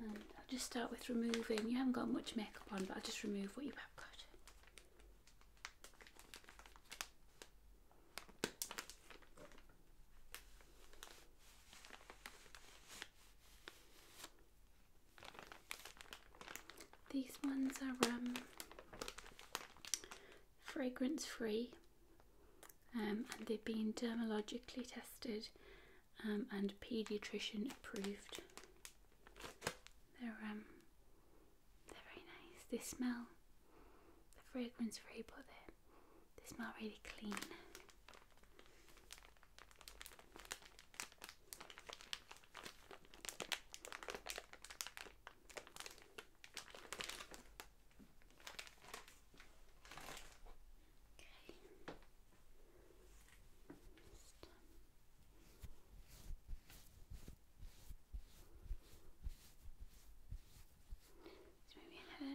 I'll just start with removing, you haven't got much makeup on, but I'll just remove what you have got. These ones are um, fragrance free um, and they've been dermatologically tested um, and paediatrician approved. They're um, they're very nice. They smell the fragrance free, but they they smell really clean. Okay. Just, um, so maybe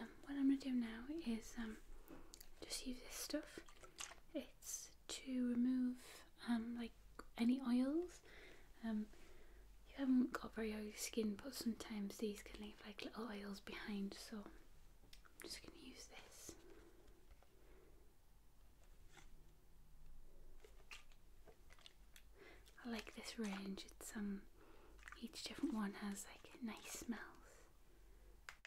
Um, what I'm going to do now is um, just use this stuff. It's to remove um, like any oils. you haven't got very oily skin, but sometimes these can leave like little oils behind. So I'm just going to use this. I like this range. It's um, each different one has like nice smells.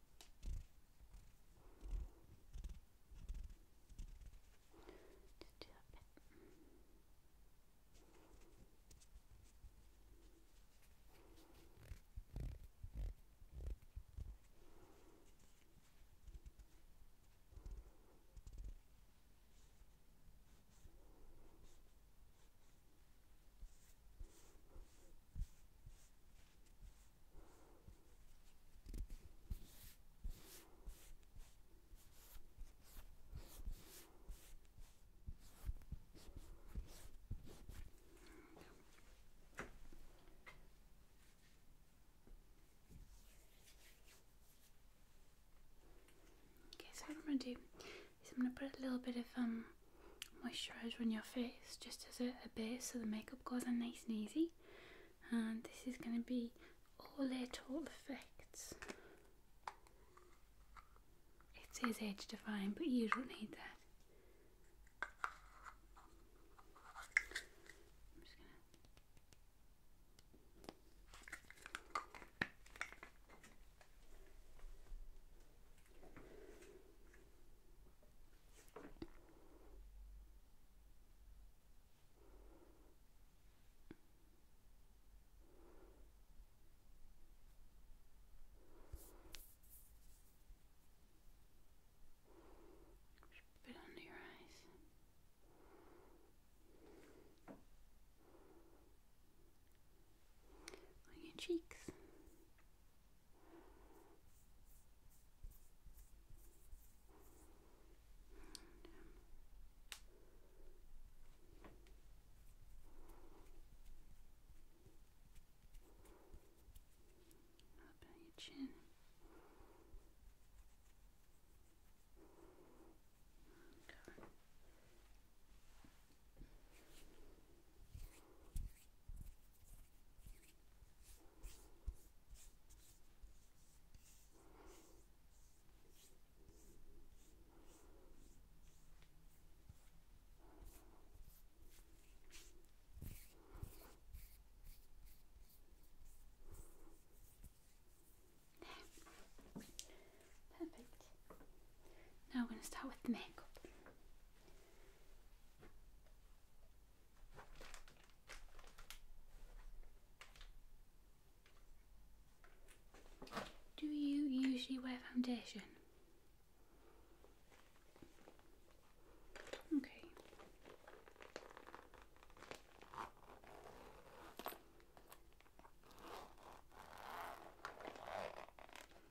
Just do a bit. Okay, so what I'm gonna do is I'm gonna put a little bit of um moisturiser on your face just as a, a base so the makeup goes on nice and easy and this is going to be all Olay all Effects it says age define but you don't need that just put it under your eyes. On your cheeks. Up on your chin. Okay. Perfect. Now we're going to start with the makeup. Do you usually wear foundation? Okay.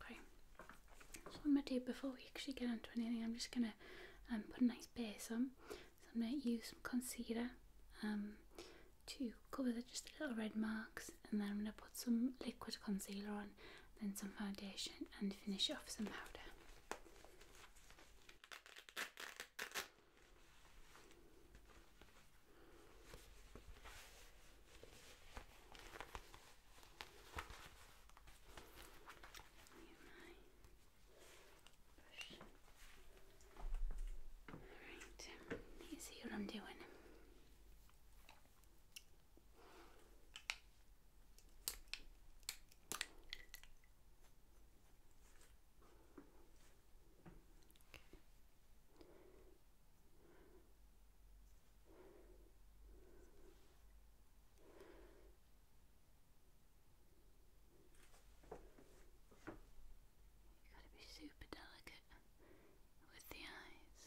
Okay. So I'm gonna do before we actually get onto anything, I'm just gonna um, put a nice base on. So I'm gonna use some concealer um, to cover the just the little red marks, and then I'm gonna put some liquid concealer on, then some foundation, and finish off some powder. Alright, let see what I'm doing. You've got to be super delicate with the eyes.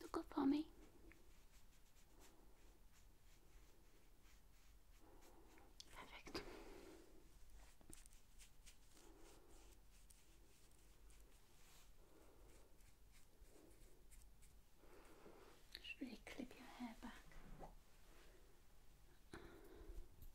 Look up for me. Perfect. Just really clip your hair back.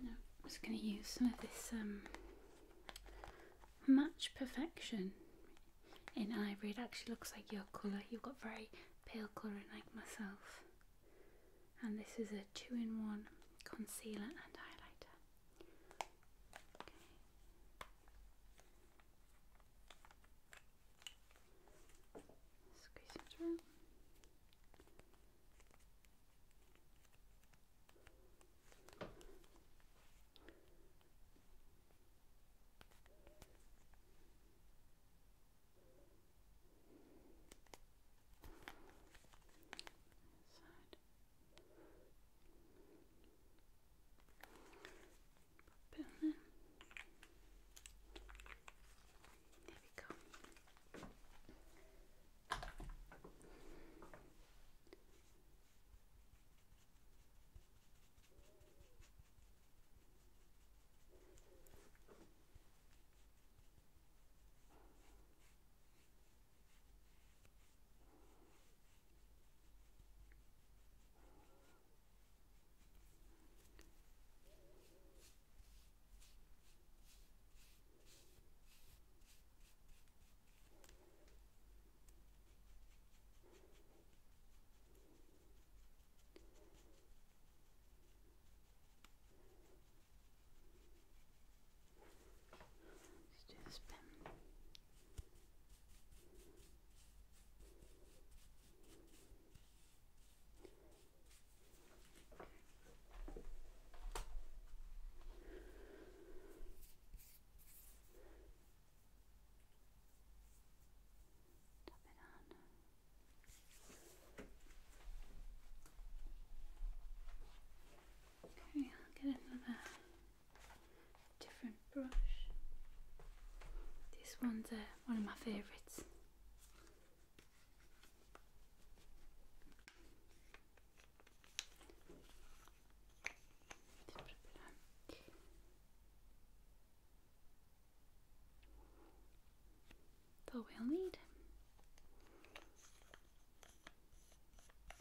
I'm just going to use some of this um, Match Perfection in ivory. It actually looks like your colour. You've got very pale colouring like myself. And this is a two-in-one concealer and highlighter. Squeeze it through. Side. Pop it we go. Let's do the Top it Okay, I'll get another different brush. This one's uh, one of my favourites. That's we'll need.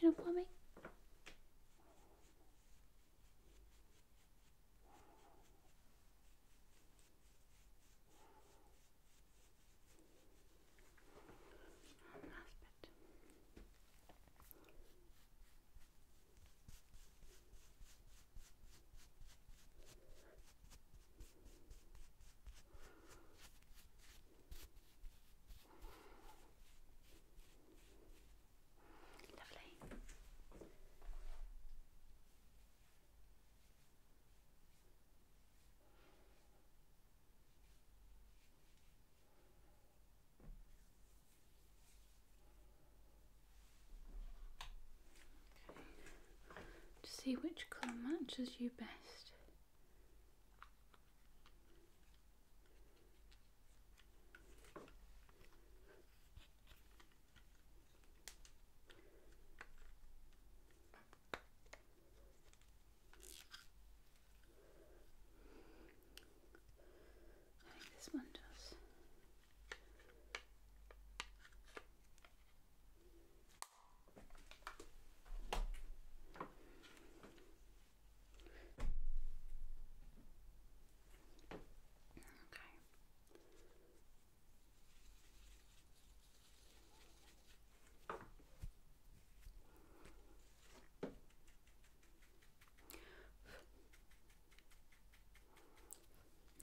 you Original plumbing. And last bit. Good. To see which colour matches you best. I think this one does. Okay.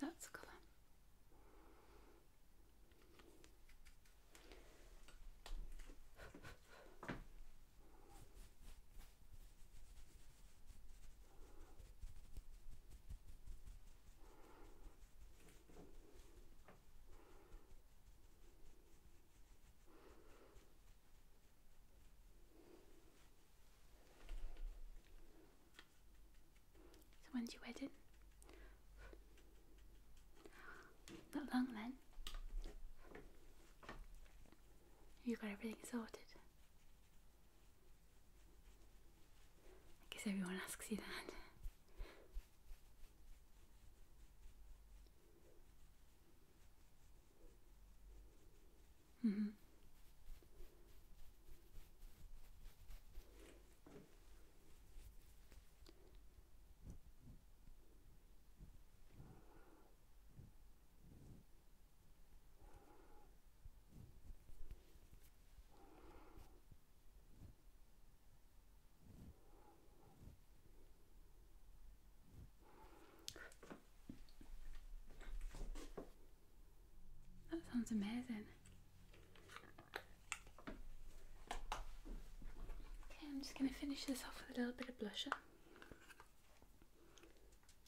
That's a colour. So when's your wedding? not long then. You have got everything sorted. I guess everyone asks you that. Mm -hmm. That sounds amazing. Okay, I'm just going to finish this off with a little bit of blusher.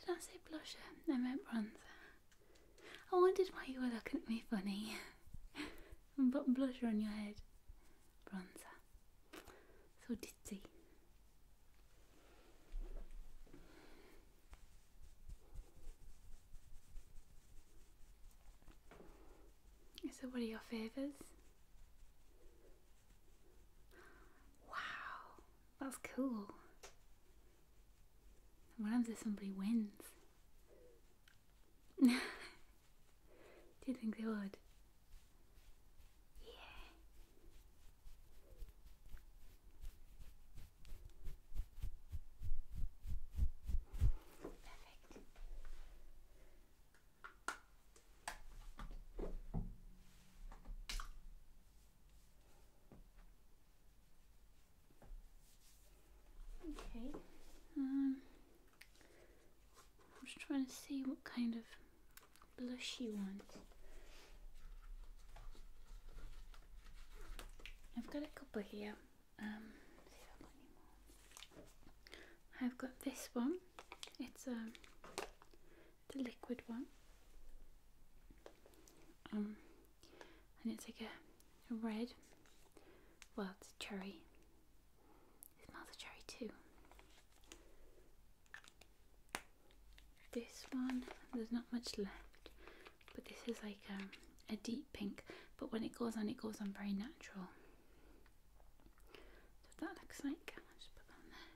Did I say blusher? I meant bronzer. Oh, I wondered why you were looking at me funny. but blusher on your head. Bronzer. So ditzy. So what are your favours? Wow. That's cool. What happens if somebody wins? Do you think they would? Yeah. Okay. Um, I'm just trying to see what kind of blush you want. I've got a couple here. Um, I've got this one. It's a um, the liquid one. Um, and it's like a, a red, well, it's cherry. It smells cherry too. This one, there's not much left, but this is like um, a deep pink. But when it goes on, it goes on very natural. So that looks like. I'll just put on there.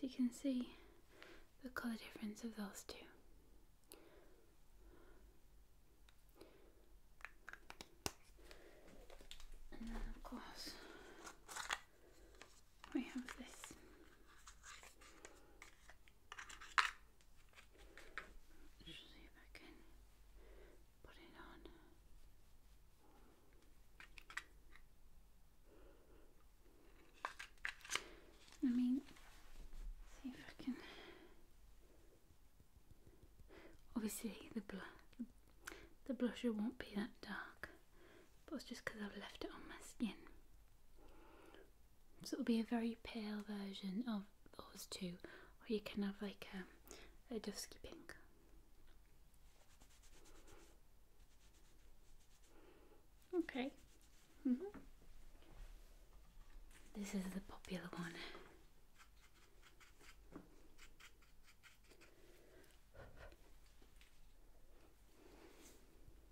So you can see the colour difference of those two. And then of course we have this just see if I can put it on. I mean, see if I can. Obviously, the the blusher won't be that dark, but it's just because I've left it on my skin. So it'll be a very pale version of those two, or you can have like a, dusky pink. Okay. Mm-hmm. This is the popular one.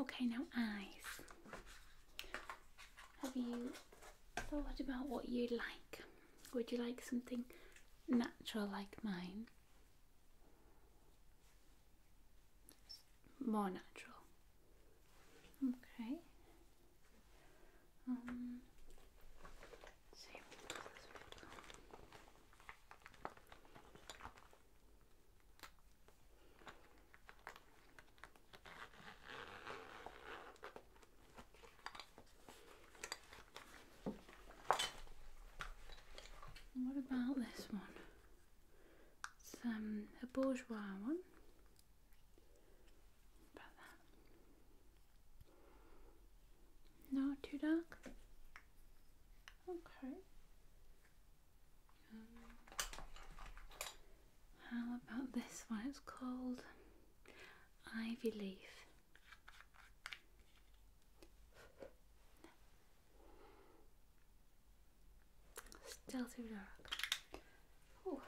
Okay, now eyes. Have you thought about what you'd like? Would you like something natural like mine? More natural. Okay. Um, what about this one? It's um, a bourgeois one. About that. No, too dark. Okay. Um, how about this one? It's called Ivy Leaf. Still too dark. Oh.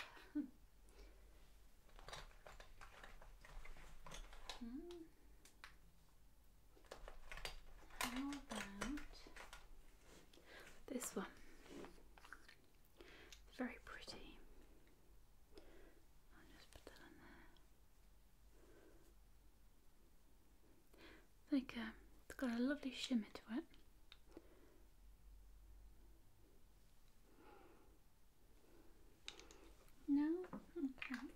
How about this one? very pretty. I'll just put that on there. Like um, it's got a lovely shimmer to it. No, okay.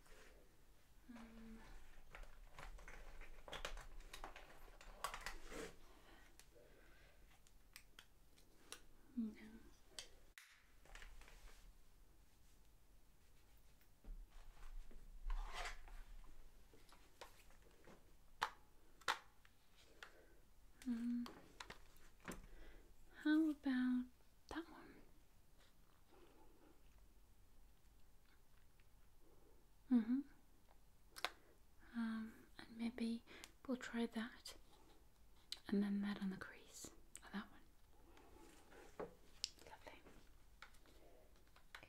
Um, no. how about that one? Mm-hmm. Um, and maybe we'll try that and then that on the crease. that one. Lovely. Okay.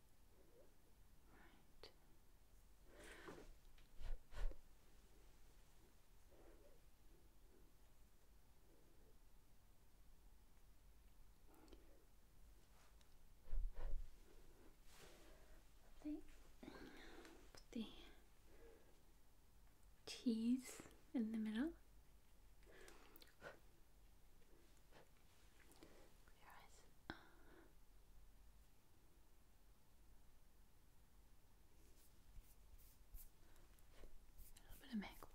Right. put the T's in the middle. Close your A little bit of makeup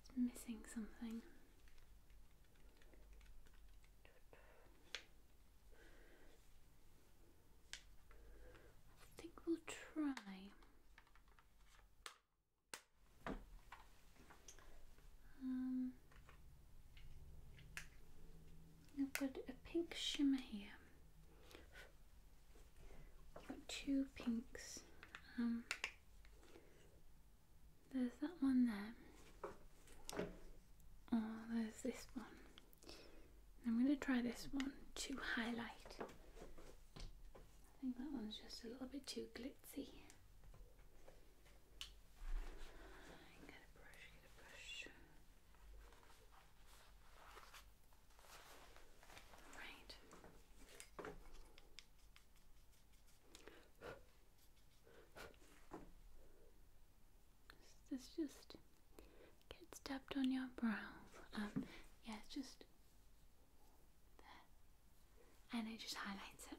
It's missing something. I think we'll try. Um, I've got a pink shimmer here. got two pinks. Um, there's that one there. Oh, there's this one. I'm going to try this one to highlight. I think that one's just a little bit too glitzy. Right. This just gets dabbed on your brow. Um, yeah, just and it just highlights it.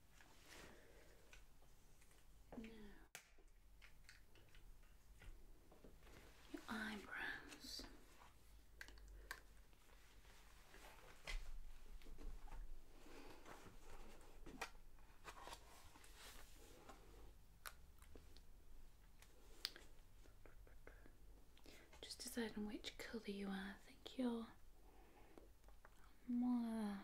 your eyebrows. Just deciding which colour you are. I think you're more of that.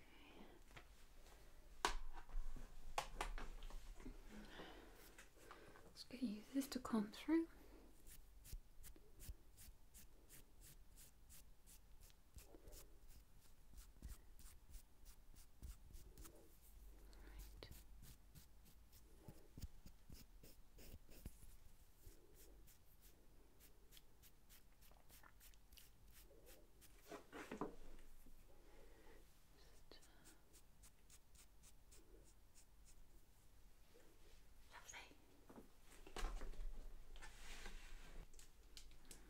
Let's get use this to come through. Right.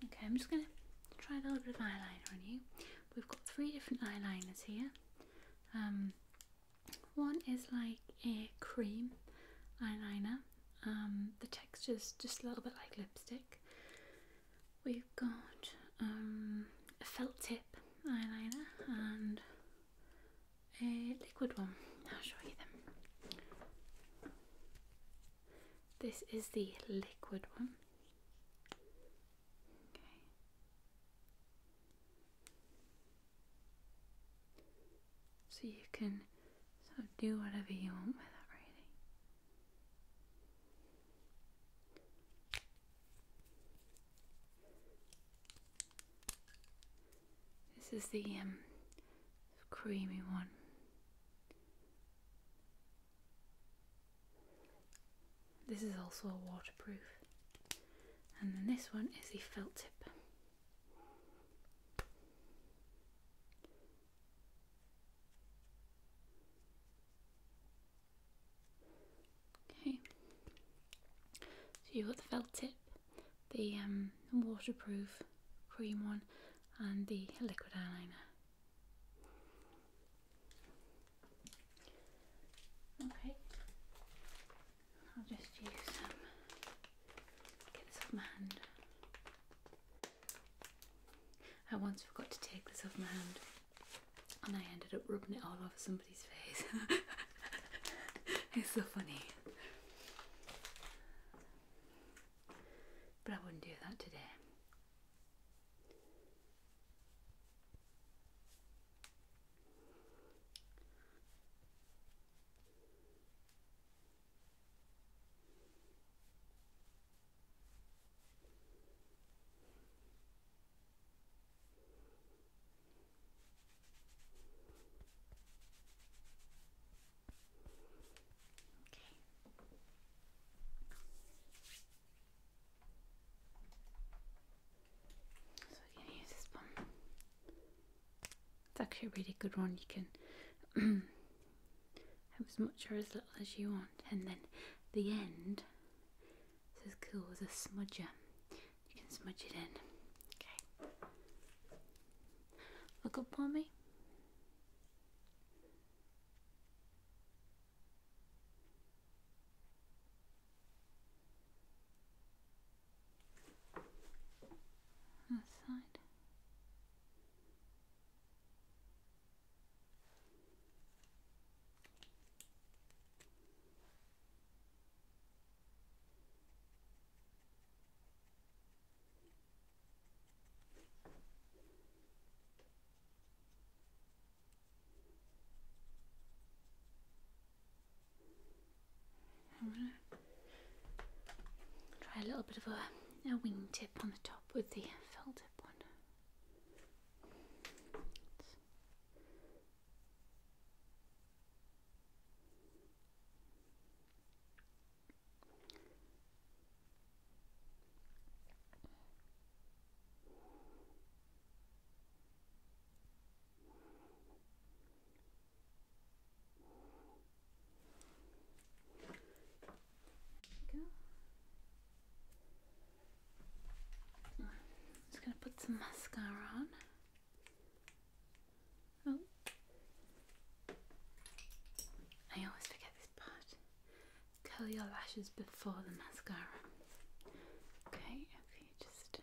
Okay, I'm just going to try a little bit of eyeliner on you. We've got three different eyeliners here. Um, one is like a cream eyeliner. Um, the texture's just a little bit like lipstick. We've got um, a felt tip eyeliner and a liquid one. I'll show you them. This is the liquid one. So you can do whatever you want with it really. This is the um, creamy one. This is also a waterproof. And then this one is the felt tip. Okay. So you've got the felt tip, the um, waterproof cream one, and the liquid eyeliner. Okay. I'll just use some. get this off my hand. I once forgot to take this off my hand and I ended up rubbing it all over somebody's face. it's so funny. But I wouldn't do that today. So you can use this one. It's actually a really good one. You can have as much or as little as you want, and then the end is as cool as a smudger. You can smudge it in. Okay. Look up for me. That side. I'm gonna try a little bit of a, a wingtip on the top with the felt tip one. I'm just going to put some mascara on. Oh. I always forget this part. Curl your lashes before the mascara. Okay, if you just uh,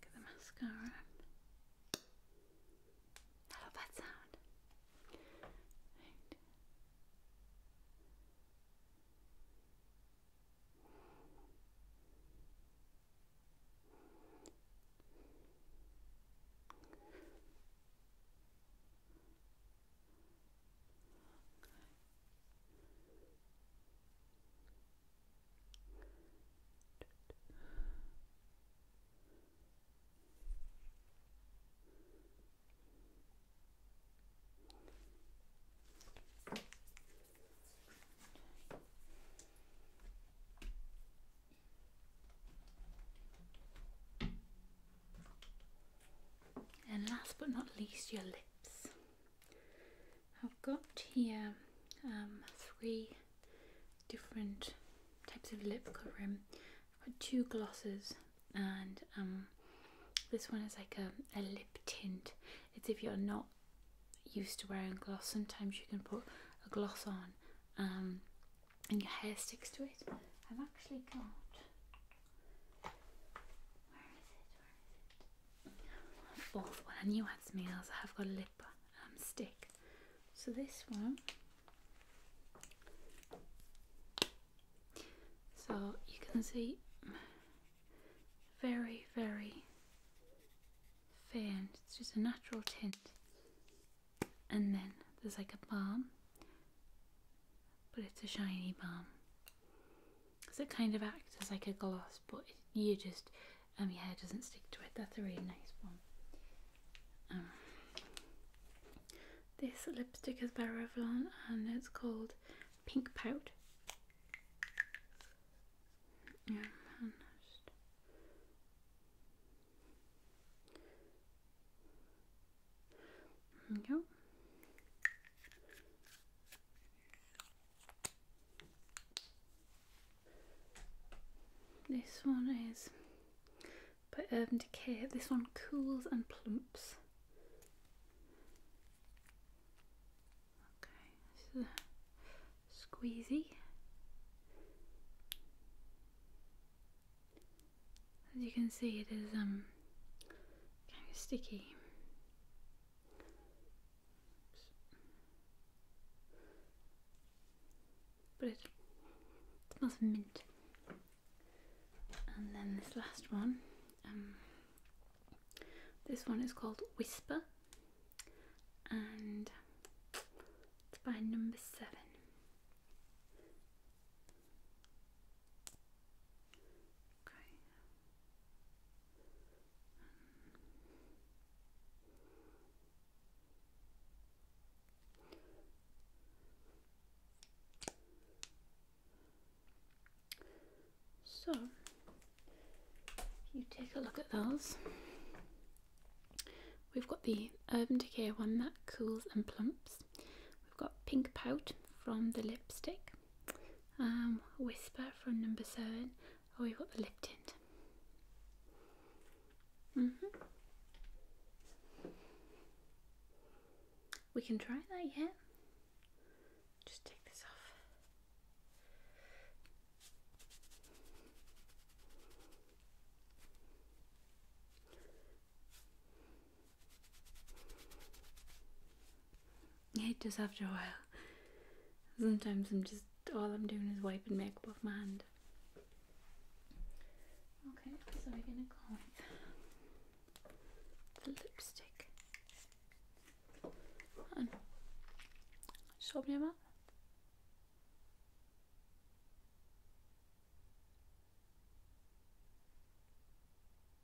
Get the mascara. I love that sound. And last but not least, your lips. I've got here um, three different types of lip covering. I've got two glosses and um, this one is like a, lip tint. It's if you're not used to wearing gloss, sometimes you can put a gloss on um, and your hair sticks to it. I've actually got where is it? Where is it? Fourth one, I knew I had some ears. I have got a lip um, stick. So this one, so you can see very, very faint. It's just a natural tint. And then there's like a balm, but it's a shiny balm. So it kind of acts as like a gloss, but you just um your hair doesn't stick to it. That's a really nice one. Um, this lipstick is by Revlon and it's called Pink Pout. Um, and just we go. This one is by Urban Decay. This one cools and plumps. Okay, this is a squeezy. As you can see, it is um kind of sticky. But it smells of mint. And then this last one, um, this one is called Whisper, and it's by number seven. Okay, so, if you take a look at those, we've got the Urban Decay one that cools and plumps. We've got Pink Pout from the lipstick. Um, Whisper from number seven. Oh, we've got the lip tint. -hmm. We can try that, yet. Just take this off. I hate this after a while. Sometimes I'm just all I'm doing is wiping makeup off my hand. Okay, so we're gonna go with the lipstick. And just open your mouth.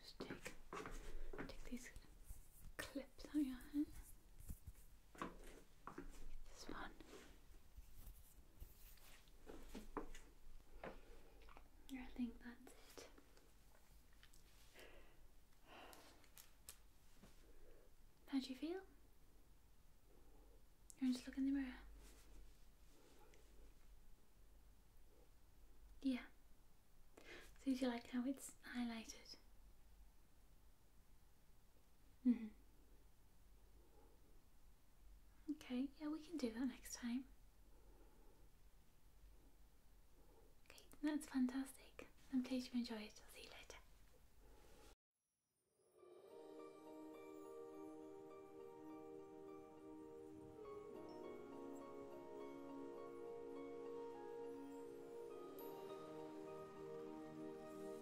Just take, take these clips out your hand. This one. I think that's it. How do you feel? You just look in the mirror. Yeah. So you like how it's highlighted? Mm-hmm. Okay, yeah, we can do that next time. Okay, that's fantastic. I'm pleased you enjoyed. I'll see you later.